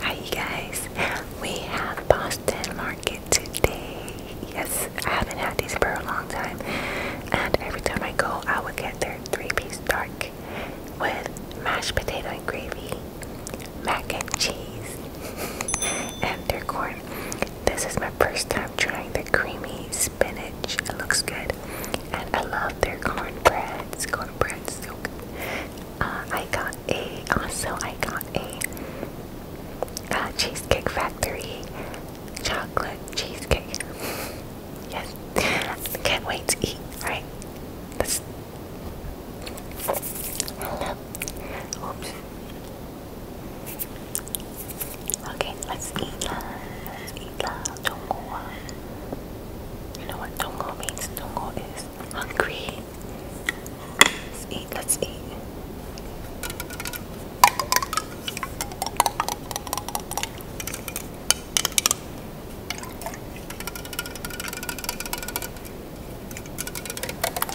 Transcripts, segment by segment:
Hi you guys. We have Boston Market today. Yes, I haven't had these for a long time. And every time I go I would get their three-piece dark with mashed potato and gravy, mac and cheese, and their corn. This is my first time trying the creamy spinach. It looks good. And I love their Corn cornbread soup. Uh, I got a, also I got a uh, Cheesecake Factory chocolate cheesecake. Yes, can't wait to eat. Alright, let's. Oops. Okay, let's eat Let's eat lah. You know what dongo means? Dongo is hungry. Let's eat. Let's eat.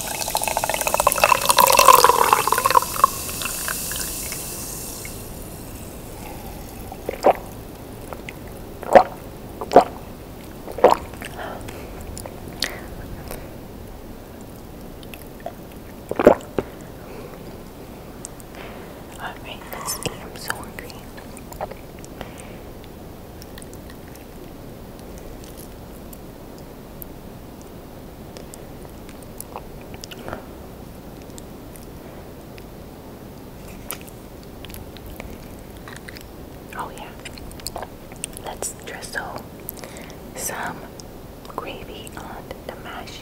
Alright, let's eat. I'm so hungry. Oh, yeah, let's drizzle some gravy on the mash.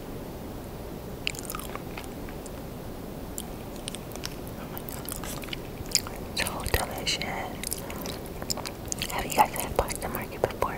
So delicious. Have you guys had black the market before?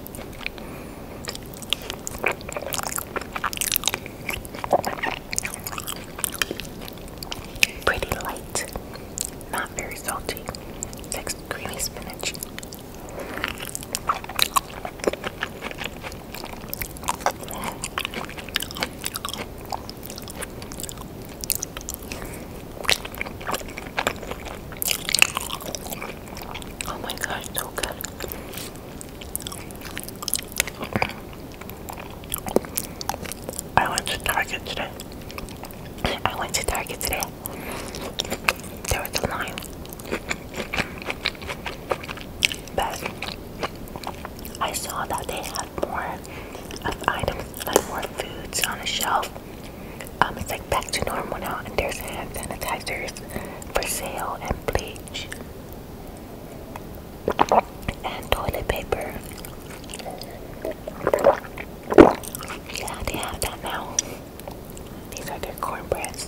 Pretty light, not very salty. Next, creamy spinach. Oh my gosh, so good. I went to Target today. I went to Target today. There was a line. But I saw that they had more of items, like more foods on the shelf. Um, it's like back to normal now, and there's hand sanitizer for sale and bleach and toilet paper. Yeah, they have that now. These are their cornbreads.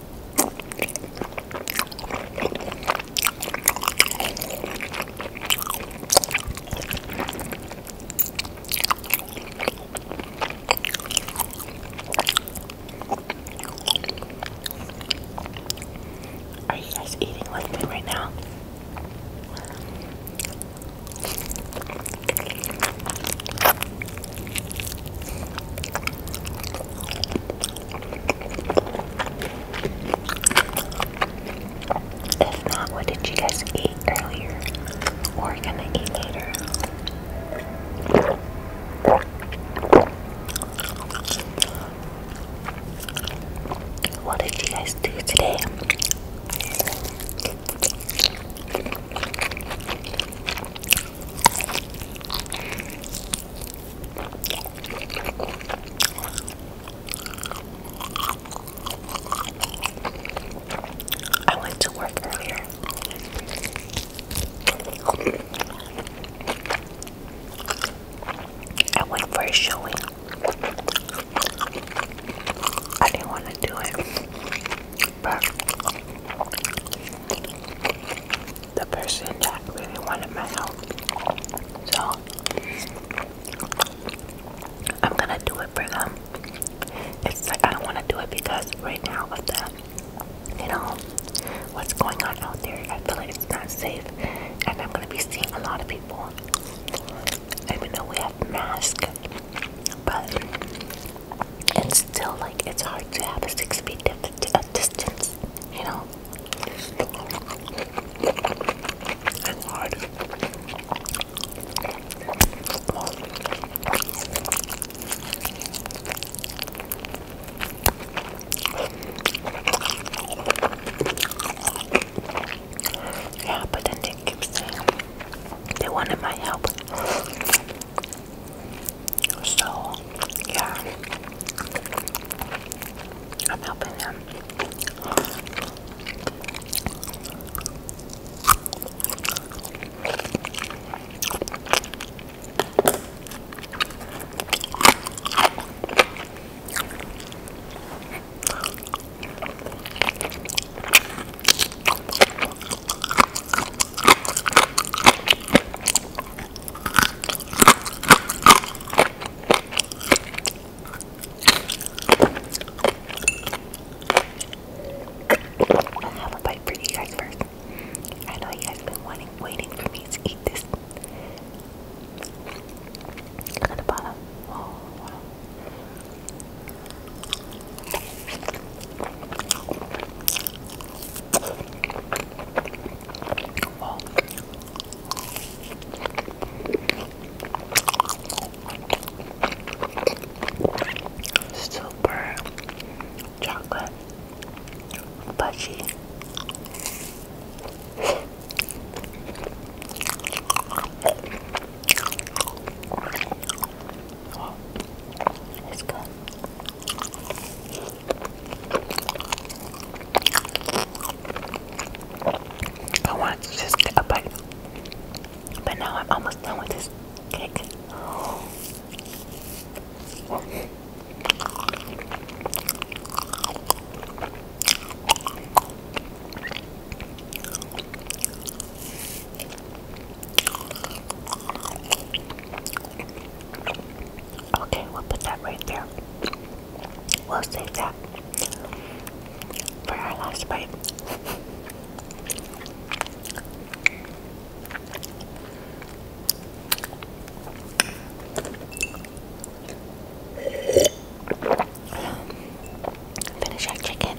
Are you guys eating like me right now? If not, what did you guys eat earlier or gonna eat later? What did you guys do today? I went to work earlier. I went for a showing. I didn't want to do it. But the person that really wanted my help. So I'm gonna do it for them. It's like I don't wanna do it because right now of the you know what's going on out there, I feel like it's not safe and I'm gonna be seeing a lot of people. Even though we have masks, but and still like it's hard to have a six feet distance, you know. Yeah, but then they keep saying they wanted my help. So, yeah, I'm helping him. I'll have a bite for you guys first. I know you guys been wanting, waiting for me to eat this. at the bottom. Wow. Super chocolate budgie. It's good. I want to just get a bite, but now I'm almost done with this cake. Okay, we'll put that right there. We'll save that for our last bite. Finish our chicken.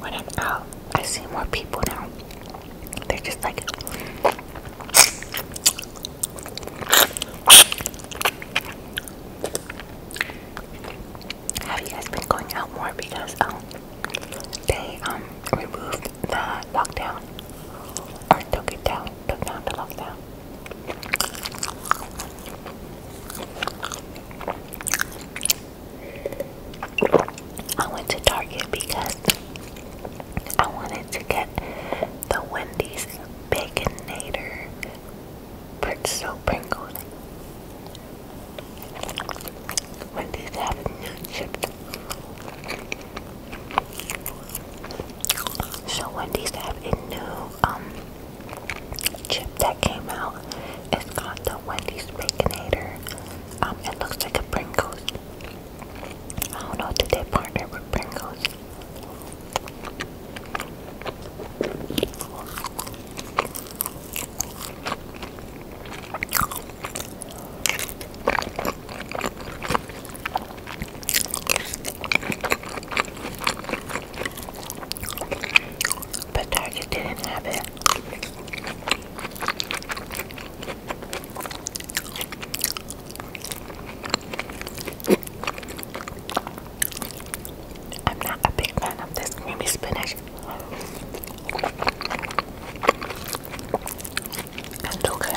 When i I see more people now. They're just like have you guys been going out more because um they um removed the lockdown or took it down, took down the lockdown? I went to Target because I wanted to get the Wendy's Baconator pretzel Pringle. Wendy's have new chips. So Wendy's have a new um, chip that came out. It's called the Wendy's Baconator. Um, it looks like a Pringles. I don't know, did they partner with Pringles? But Target didn't have it. I'm not a big fan of this creamy spinach. It's okay.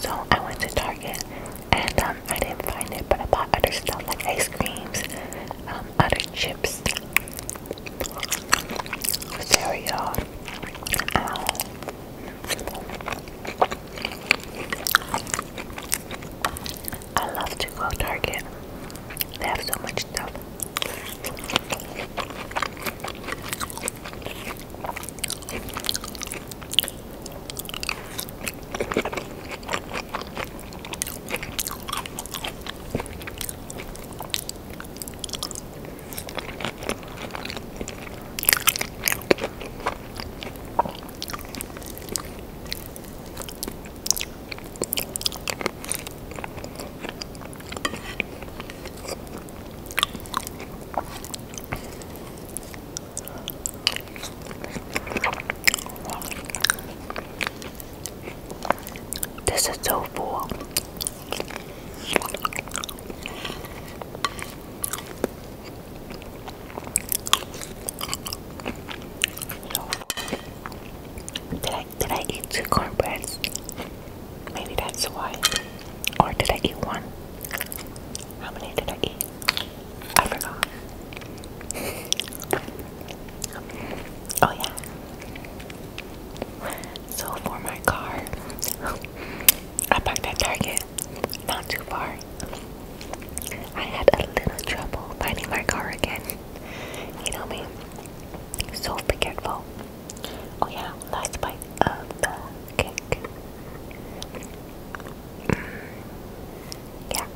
So I went to Target and um, I didn't find it, but I bought other stuff like ice creams, um, other chips, cereal. Um, I love to go Target. They have so much stuff. This is so full did I did I eat two cornbreads? Maybe that's why. Or did I eat one? How many did I eat? I forgot. oh yeah. So for my car, I parked at Target, not too far. I had a little trouble finding my car again. You know me, so forgetful. Oh yeah, last bite of the cake. Yeah.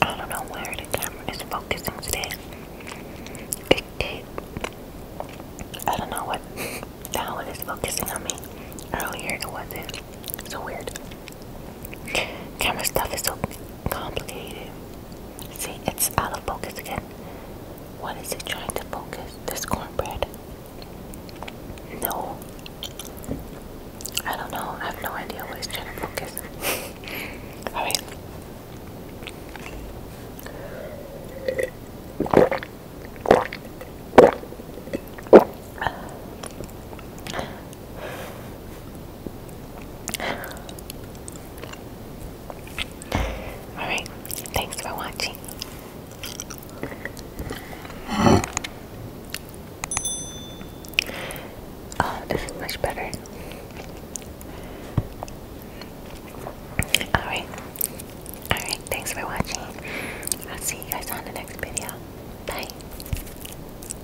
I don't know where the camera is focusing today. I don't know what how it is focusing on me. Earlier it wasn't. So weird. Camera stuff is so complicated. See, it's out of focus again. What is it trying to focus? This cornbread? No. I don't know. I have no idea what it's trying to focus. Alright, thanks for watching. Oh, this is much better. Alright, alright, thanks for watching. I'll see you guys on the next video. Bye.